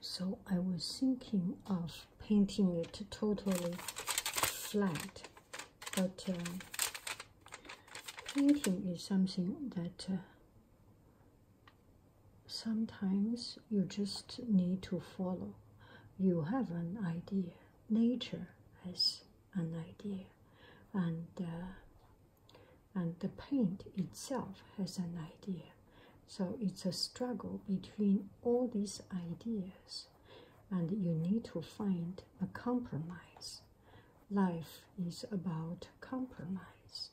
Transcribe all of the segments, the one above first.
so I was thinking of painting it totally flat, but uh, painting is something that uh, sometimes you just need to follow. You have an idea, nature has an idea, and uh, and the paint itself has an idea. So it's a struggle between all these ideas, and you need to find a compromise. Life is about compromise.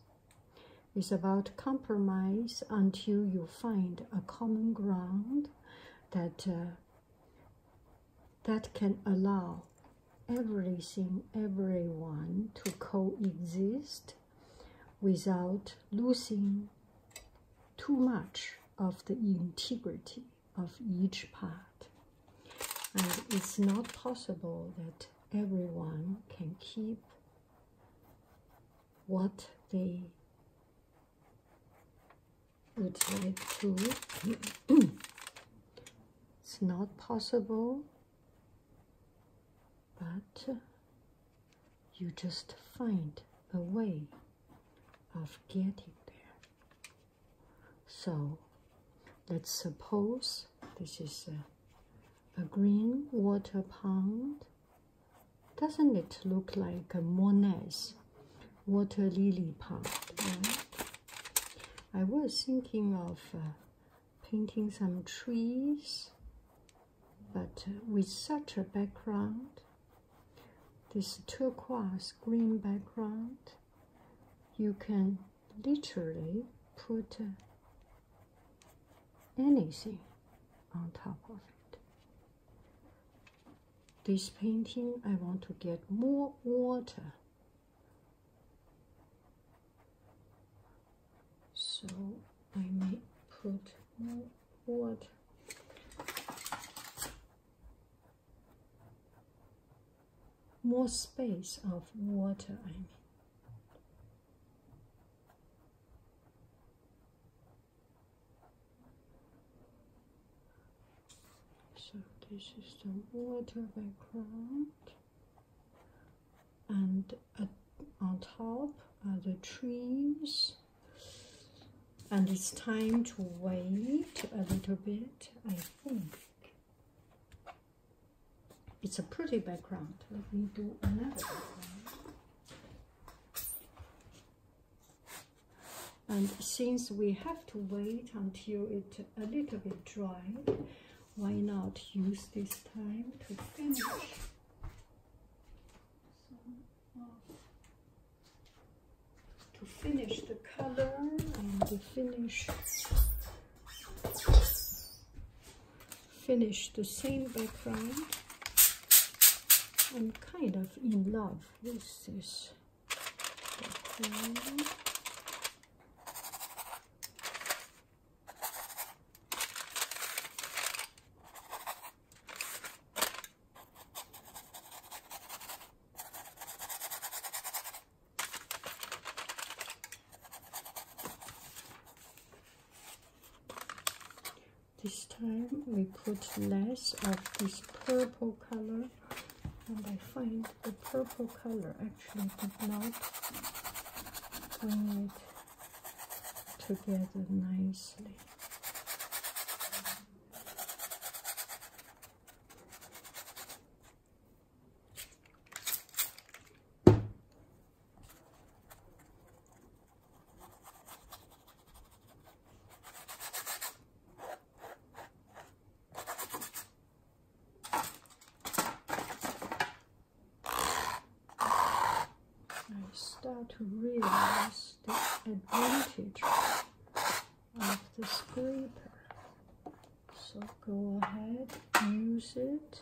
It's about compromise until you find a common ground that uh, that can allow everything, everyone to coexist without losing too much of the integrity of each part. And it's not possible that everyone can keep what they would like to. it's not possible, but you just find a way of getting there. So let's suppose this is a, green water pond. Doesn't it look like a Monet water lily pond? I was thinking of uh, painting some trees but with such a background, this turquoise green background, you can literally put uh, anything on top of it. This painting, I want to get more water. So I may put more what More space of water, I mean. So this is the water background and on top are the trees, and it's time to wait a little bit I think it's a pretty background let me do another background. and since we have to wait until it a little bit dry why not use this time to finish to finish the color and to finish finish the same background I'm kind of in love with this this time we put less of this purple color and I find the purple color actually did not bring together nicely. I start to realize the advantage of the scraper. So go ahead, use it.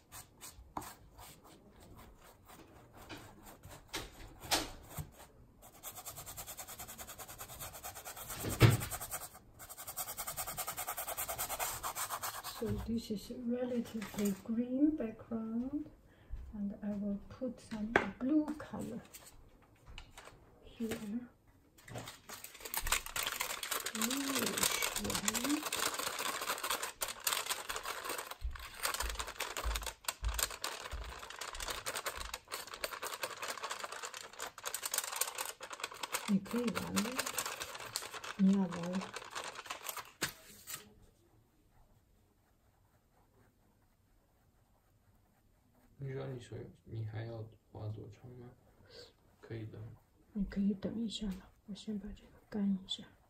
So this is a relatively green background and I will put some blue color here. 你可以玩吗？你要玩。你说你说你还要画多长吗？可以的。你可以等一下了，我先把这个干一下。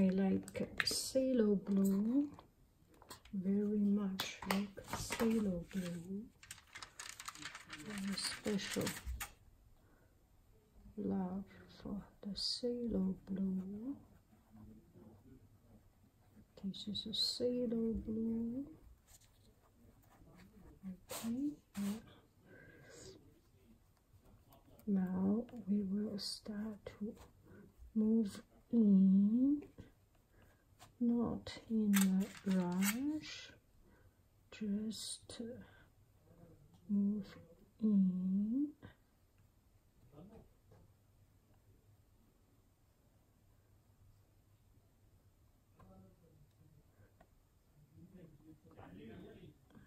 I like sailor blue very much like sailor blue very special love for the sailor blue this is a sailor blue okay now we will start to move in not in a rush just move in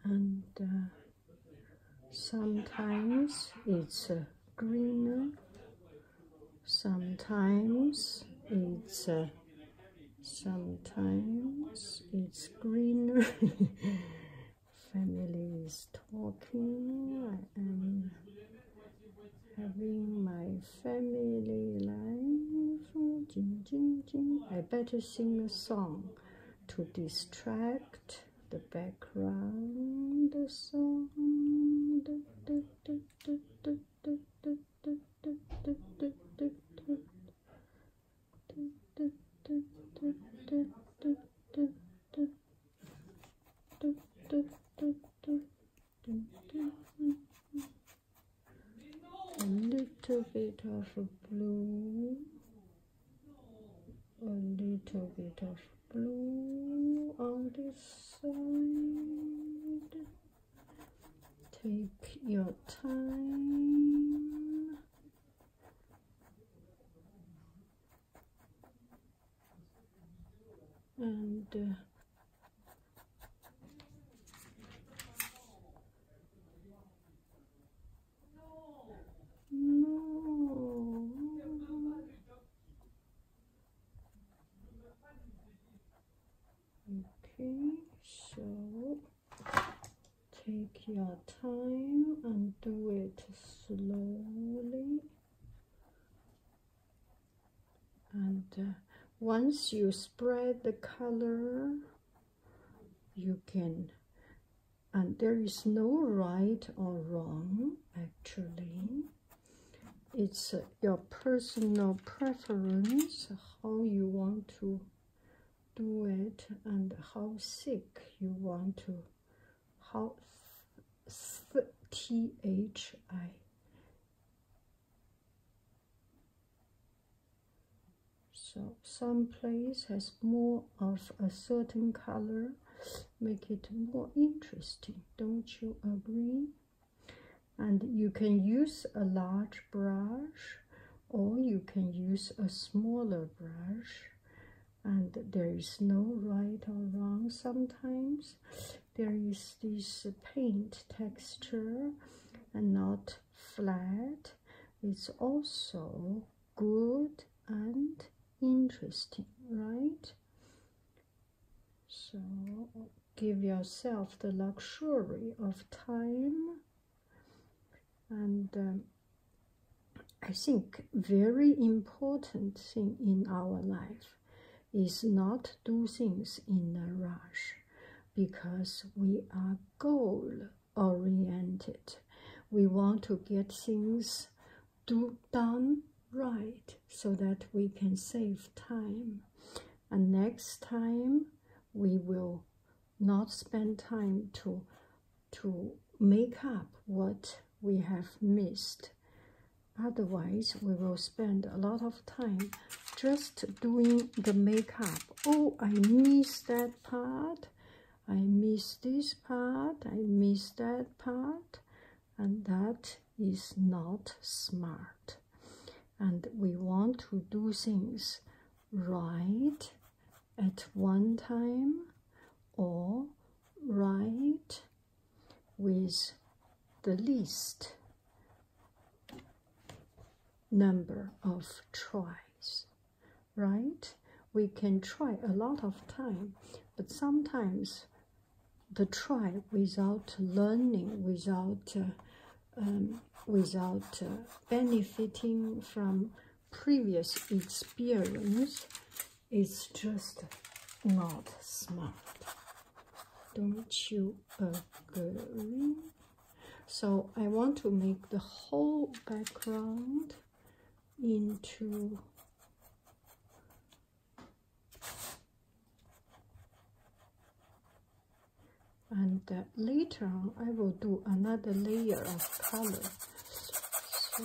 and uh, sometimes it's uh, greener sometimes it's uh, sometimes it's greener family is talking i am having my family life jing, jing, jing. i better sing a song to distract the background the sound. A little bit of blue a little bit of blue on this side take your time and uh, okay so take your time and do it slowly and uh, once you spread the color you can and there is no right or wrong actually it's uh, your personal preference how you want to do it and how thick you want to how th th i so some place has more of a certain color make it more interesting don't you agree and you can use a large brush or you can use a smaller brush and there is no right or wrong sometimes there is this paint texture and not flat it's also good and interesting, right? So give yourself the luxury of time and um, I think very important thing in our life is not do things in a rush because we are gold oriented. We want to get things do, done right so that we can save time. And next time we will not spend time to to make up what we have missed. Otherwise, we will spend a lot of time just doing the makeup. Oh, I missed that part. I miss this part, I miss that part, and that is not smart. And we want to do things right at one time or right with the least number of tries right? We can try a lot of time, but sometimes the try without learning, without um, without uh, benefiting from previous experience, is just not smart. Don't you agree? So I want to make the whole background into and later on I will do another layer of color so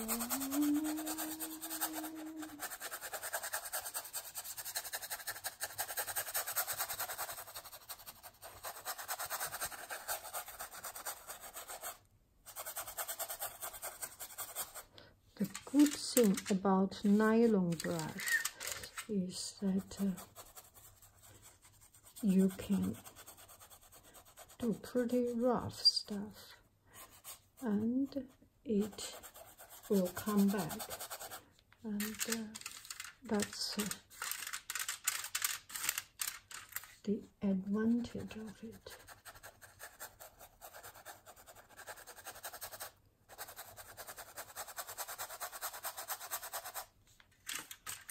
the good thing about nylon brush is that uh, you can do pretty rough stuff and it will come back and uh, that's it. Uh, the advantage of it.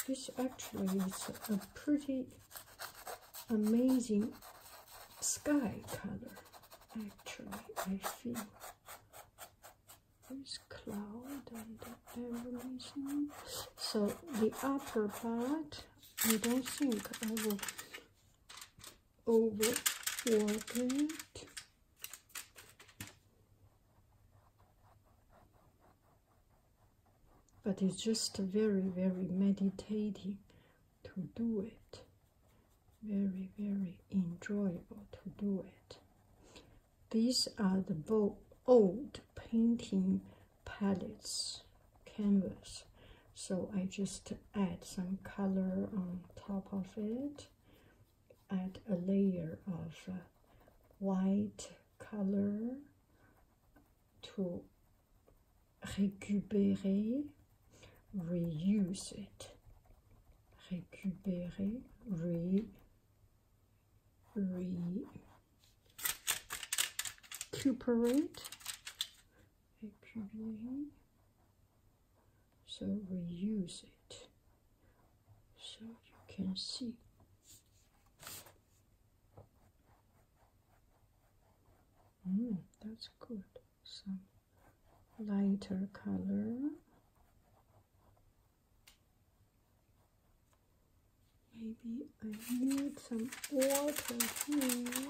This actually is a pretty amazing sky color, actually, I feel. There's cloud and everything. So the upper part I don't think I will overwork it. But it's just very, very meditating to do it. Very, very enjoyable to do it. These are the old painting palettes canvas so I just add some color on top of it add a layer of uh, white color to recuperate, reuse it Recuperate, re, re recuperate. So reuse it. So you can see. Mm, that's good. Some lighter color. Maybe I need some water here.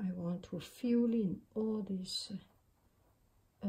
I want to fill in all this uh,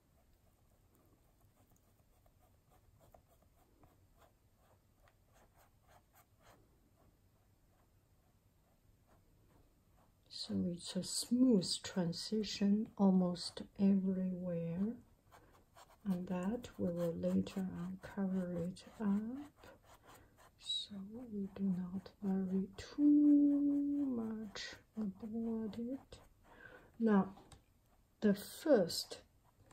So it's a smooth transition almost everywhere, and that we will later on cover it up so we do not worry too much Undivided. Now, the first,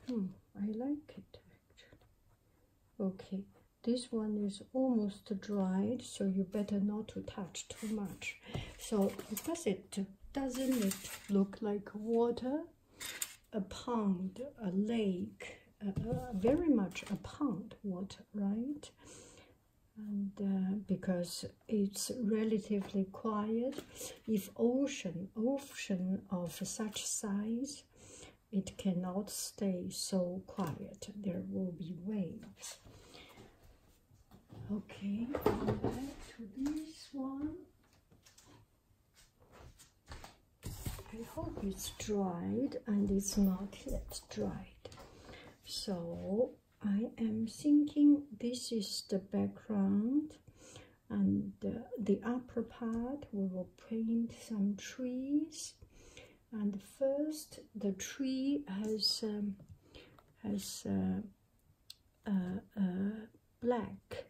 hmm, I like it actually. Okay, this one is almost dried, so you better not to touch too much. So, because it, doesn't look like water? A pond, a lake, uh, uh, very much a pond water, right? and uh, because it's relatively quiet if ocean ocean of such size it cannot stay so quiet there will be waves okay back to this one i hope it's dried and it's not yet dried so I am thinking this is the background and the upper part we will paint some trees and first the tree has um, has uh, uh, uh, black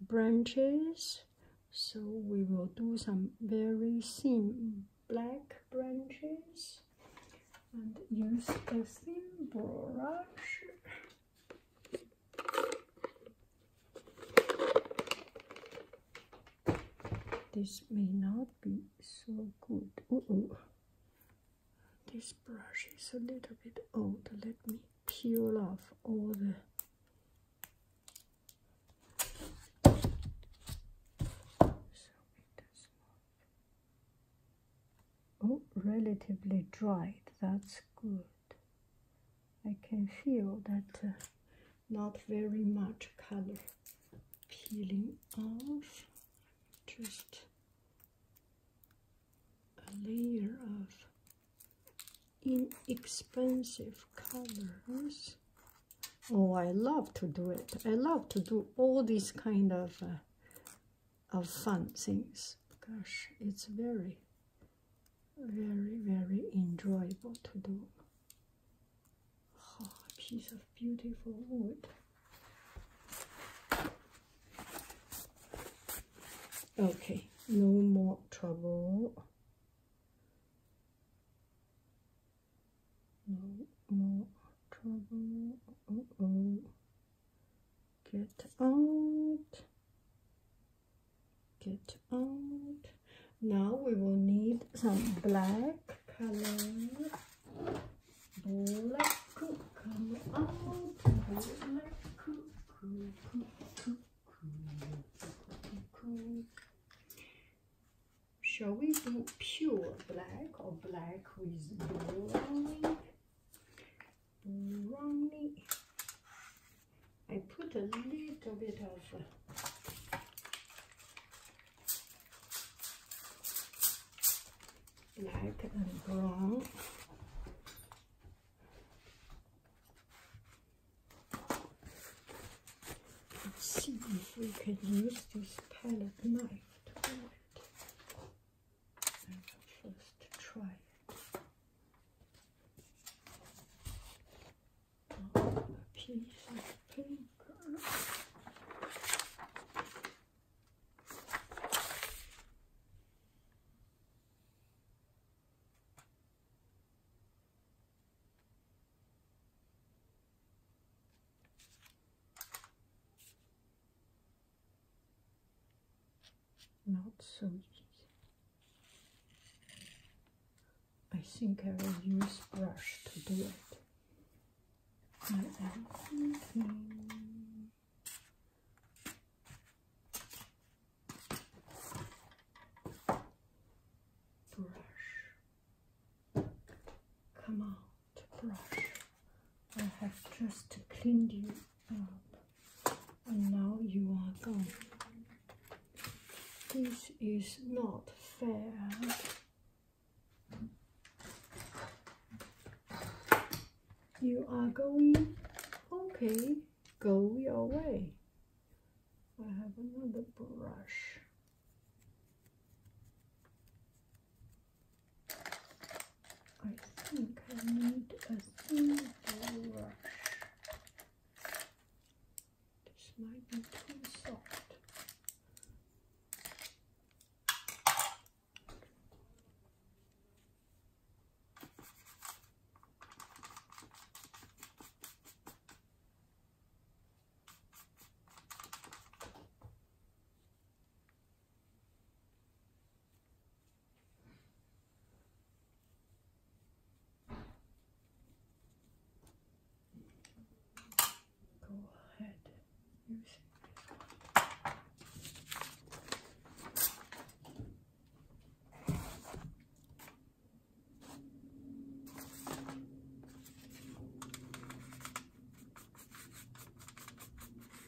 branches so we will do some very thin black branches and use the thin brush this may not be so good this brush is a little bit old let me peel off all the Oh, relatively dried, that's good. I can feel that uh, not very much color peeling off, just a layer of inexpensive colors. Oh, I love to do it. I love to do all these kind of uh, of fun things. Gosh, it's very, very, very enjoyable to do. Oh, a piece of beautiful wood. Okay, no more trouble. No more trouble get out get out now we will need some black color black come out black Shall we do pure black or black with drawing? brownie. I put a little bit of uh, black and brown. Let's see if we can use this palette knife to do first try. Oh, a piece of paper. Not so easy. I think I will use brush to do it. brush. Come on brush. I have just cleaned you up and now you are gone. This is not fair. You are going? Okay, go your way. I have another brush. I think I need a thin brush. This might be too soft. Go ahead using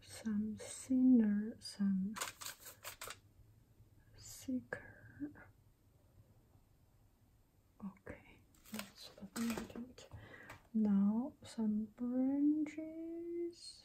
some sinner, some seeker. Okay, that's what Now some branches.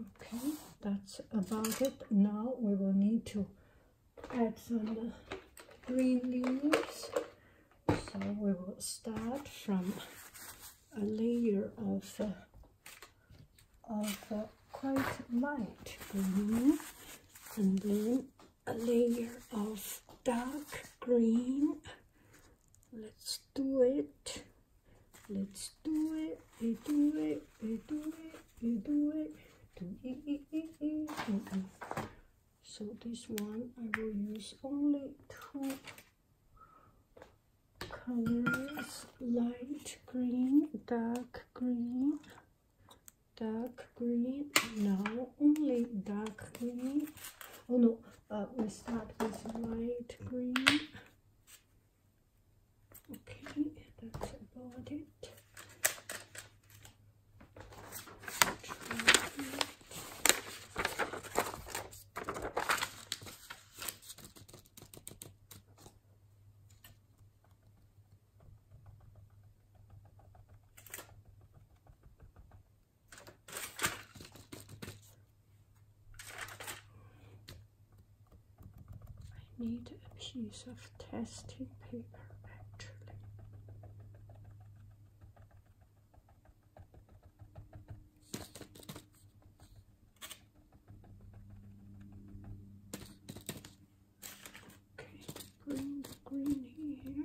okay that's about it now we will need to add some uh, green leaves so we will start from a layer of uh, of quite light green and then a layer of dark green let's do it let's do it we do it we do it we do it so this one I will use only two colors light green dark green dark green now only dark green oh no uh, we start with light green okay that's about it I need a piece of testing paper actually. Okay, bring green here.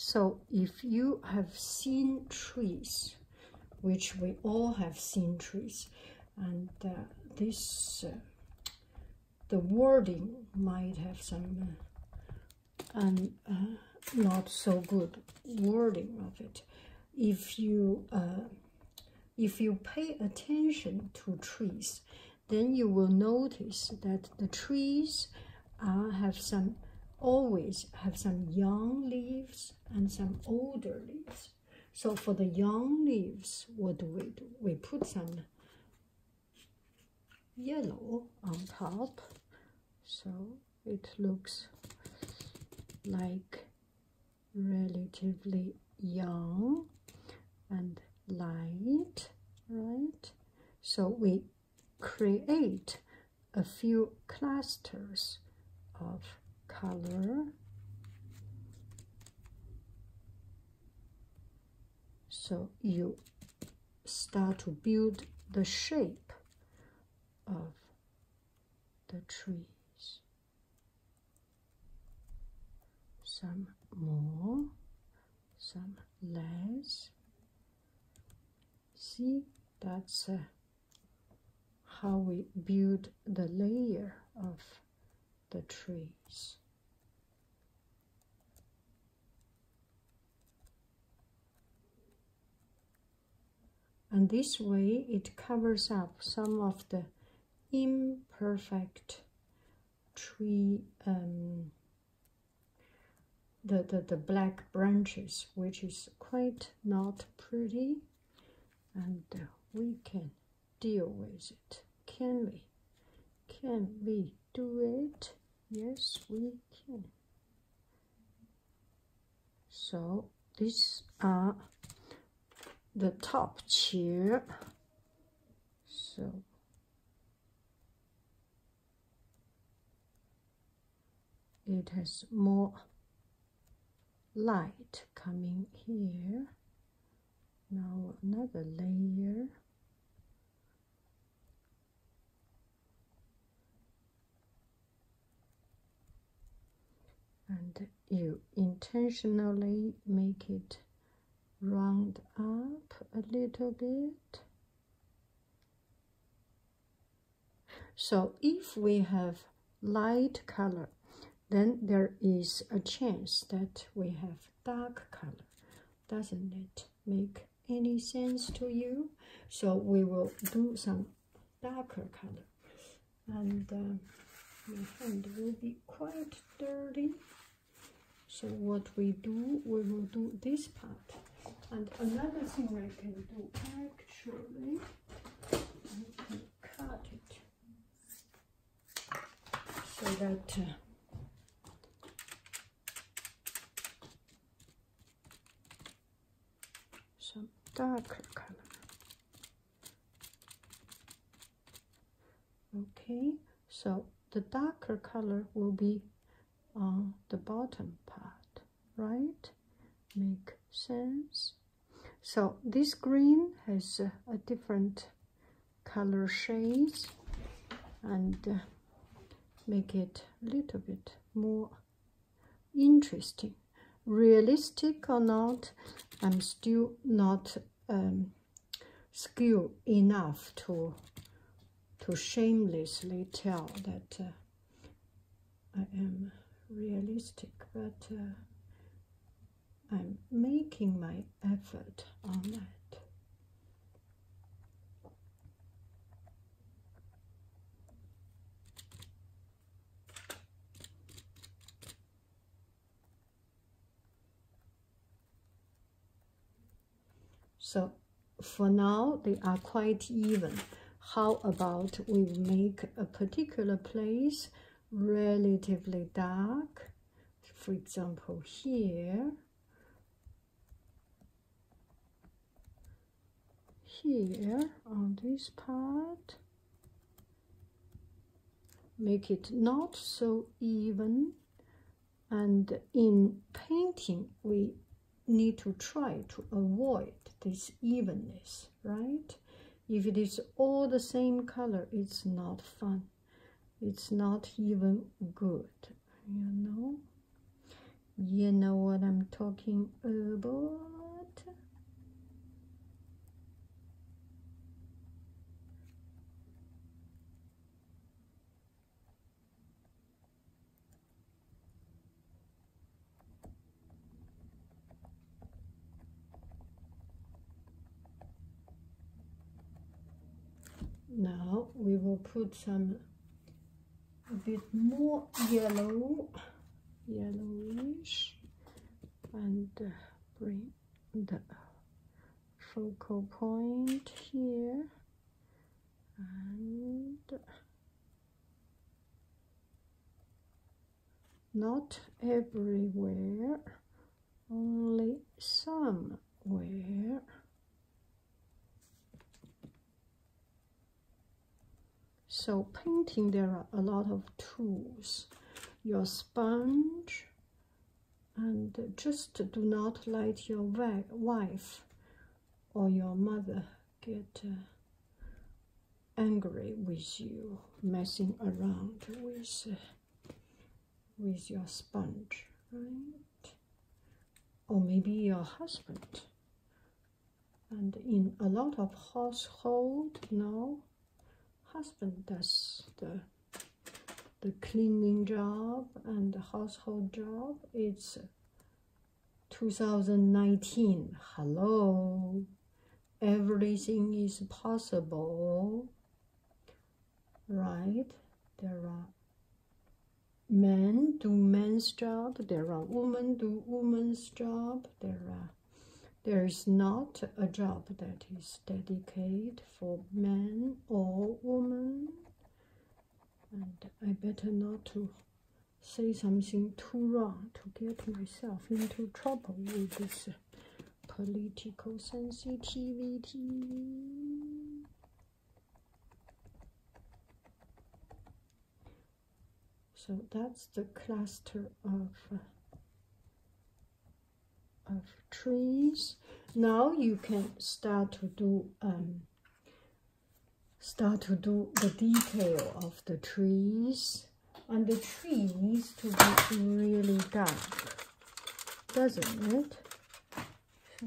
So if you have seen trees which we all have seen trees and uh, this uh, the wording might have some and uh, um, not so good wording of it if you if you pay attention to trees then you will notice that the trees have some always have some young leaves and some older leaves. So for the young leaves, what do we do? We put some yellow on top so it looks like relatively young and light right so we create a few clusters of color so you start to build the shape of the trees some more some less see that's uh, how we build the layer of the trees and this way it covers up some of the imperfect tree um, the, the, the black branches which is quite not pretty and uh, we can deal with it. Can we? Can we do it? Yes, we can. So these are the top tier. So it has more light coming here now another layer and you intentionally make it round up a little bit so if we have light color, then there is a chance that we have dark color. Doesn't it make any sense to you? So we will do some darker color. And uh, my hand will be quite dirty. So what we do, we will do this part. And another thing I can do actually cut it so that some darker color okay so the darker color will be on the bottom part right make sense so this green has a different color shades and uh, make it a little bit more interesting realistic or not i'm still not um, skilled enough to to shamelessly tell that uh, I am realistic, but uh, I'm making my effort on that. So for now, they are quite even. How about we make a particular place relatively dark? For example, here. Here on this part. Make it not so even. And in painting, we need to try to avoid this evenness right? If it is all the same color, it's not fun. It's not even good, you know? You know what I'm talking about? Now we will put some a bit more yellow, yellowish, and uh, bring the focal point here and not everywhere, only somewhere. So painting, there are a lot of tools. Your sponge, and just do not let your wife or your mother get uh, angry with you messing around with with your sponge right or maybe your husband and in a lot of household now husband does the the cleaning job and the household job it's 2019. Hello. Everything is possible. Right? There are men do men's job. There are women do women's job. There are there is not a job that is dedicated for men or women. And I better not to say something too wrong to get myself into trouble with this political sensitivity. So that's the cluster of of trees. Now you can start to do um, start to do the detail of the trees and the tree needs to be really dark doesn't it so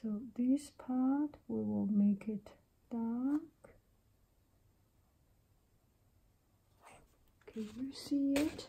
so this part we will make it dark can you see it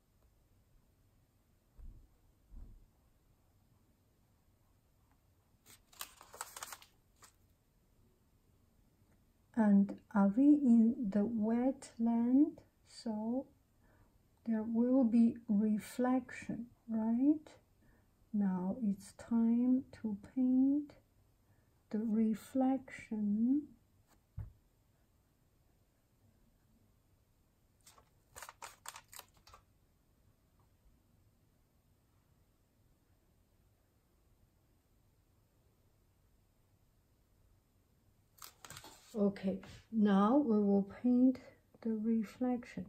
and are we in the wetland so there will be reflection right now it's time to paint the reflection Okay, now we will paint the reflection.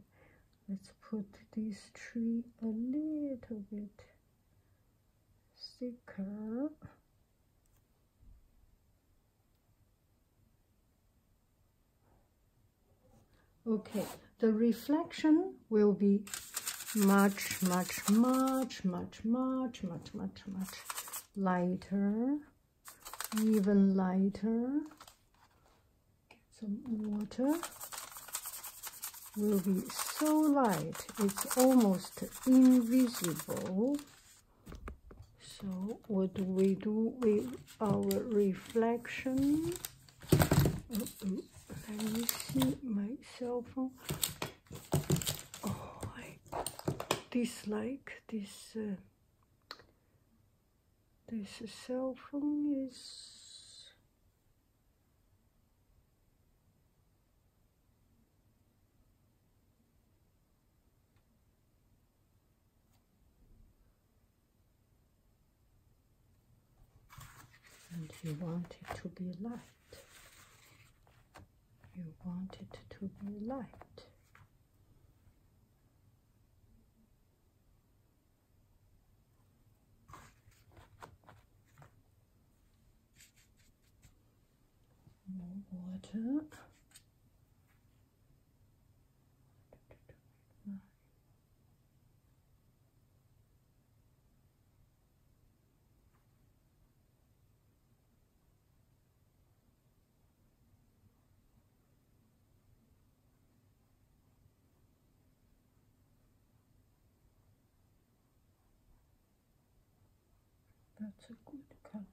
Let's put this tree a little bit thicker. Okay, the reflection will be much, much, much, much, much, much, much, much lighter, even lighter. Get some water. Will be so light, it's almost invisible so what do we do with our reflection let me see my cellphone. phone oh i dislike this uh, this cell phone is and you want it to be light you want it to be light more water. That's a good color.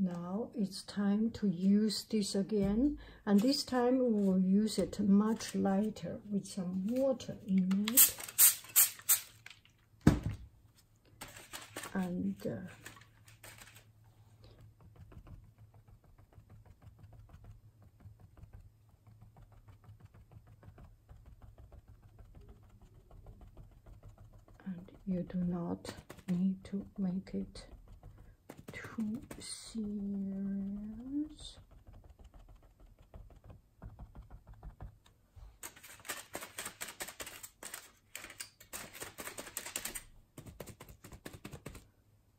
Now it's time to use this again, and this time we will use it much lighter with some water in it. And uh, and you do not need to make it too serious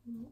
yellow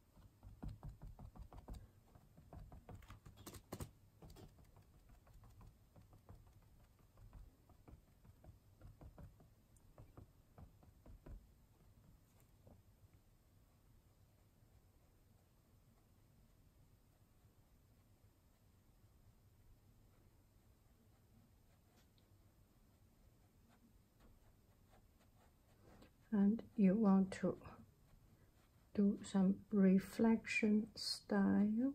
and you want to do some reflection style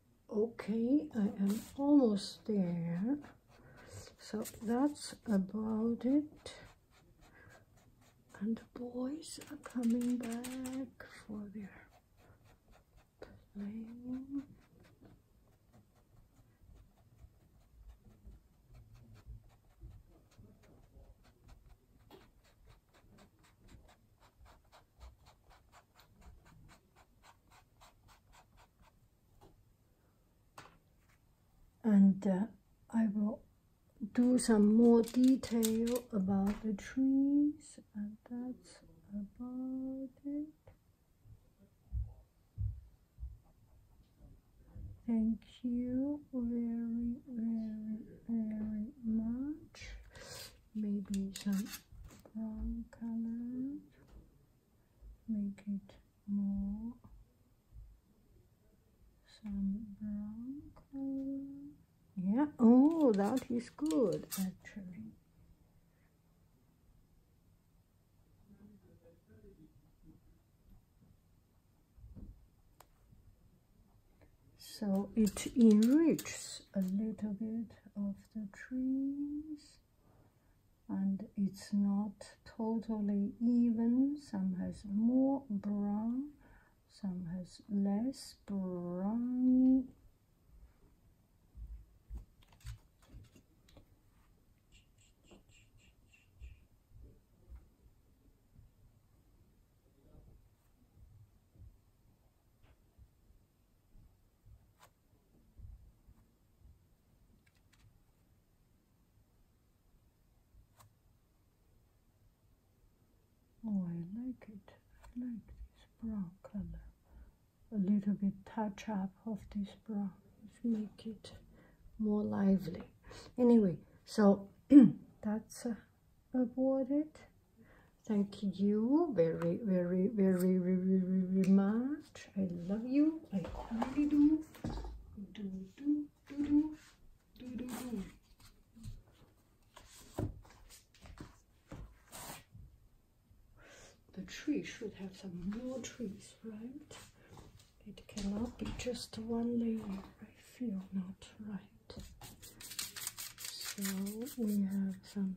okay I am almost there so that's about it and the boys are coming back for their playing and uh, I will do some more detail about the trees and that's about it. Thank you very, very, very much. Maybe some brown color make it more some brown color yeah oh that is good actually so it enriches a little bit of the trees and it's not totally even some has more brown some has less brown. Oh, I like it. I like this brown color. A little bit touch up of this brown. Make it more lively. Anyway, so that's uh, about it. Thank you very, very, very, very, very much. I love you. I only Do, do, do, do. Do, do, do. The tree should have some more trees, right? It cannot be just one layer. I feel not right. So we have some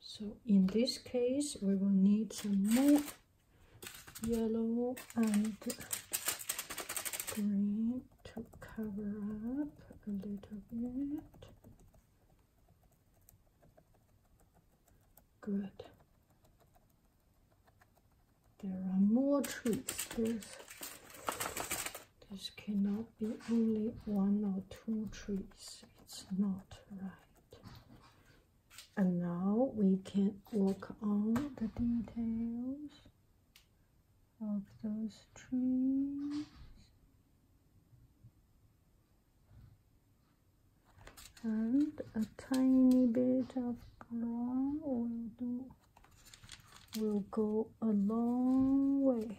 So in this case, we will need some more yellow and green to cover up a little bit. Good. There are more trees. There's this cannot be only one or two trees. It's not right. And now we can work on the details of those trees. And a tiny bit of brown will do will go a long way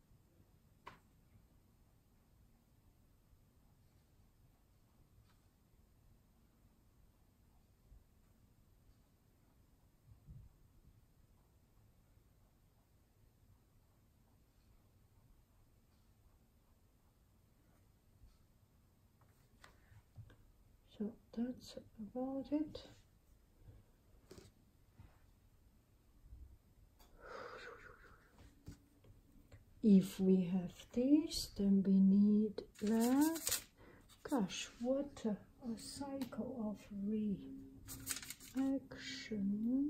So that's about it. If we have this, then we need that. Gosh, what a, cycle of reaction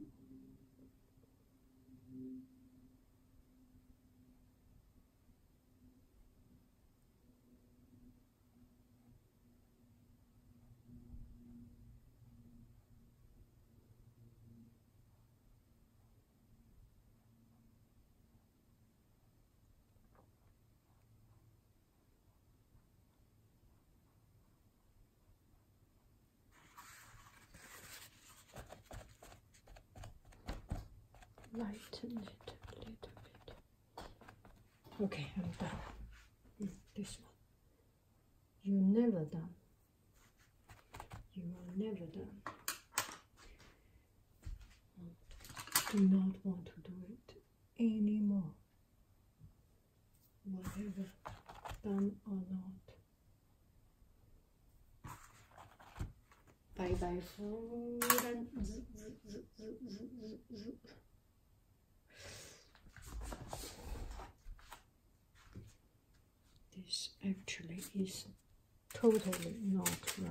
lighten it a little bit. Okay, I'm done. with mm, this one you never done. You are never done. Do not want to do it anymore. Whatever, done or not. Bye bye food this actually is totally not right.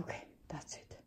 Okay, that's it.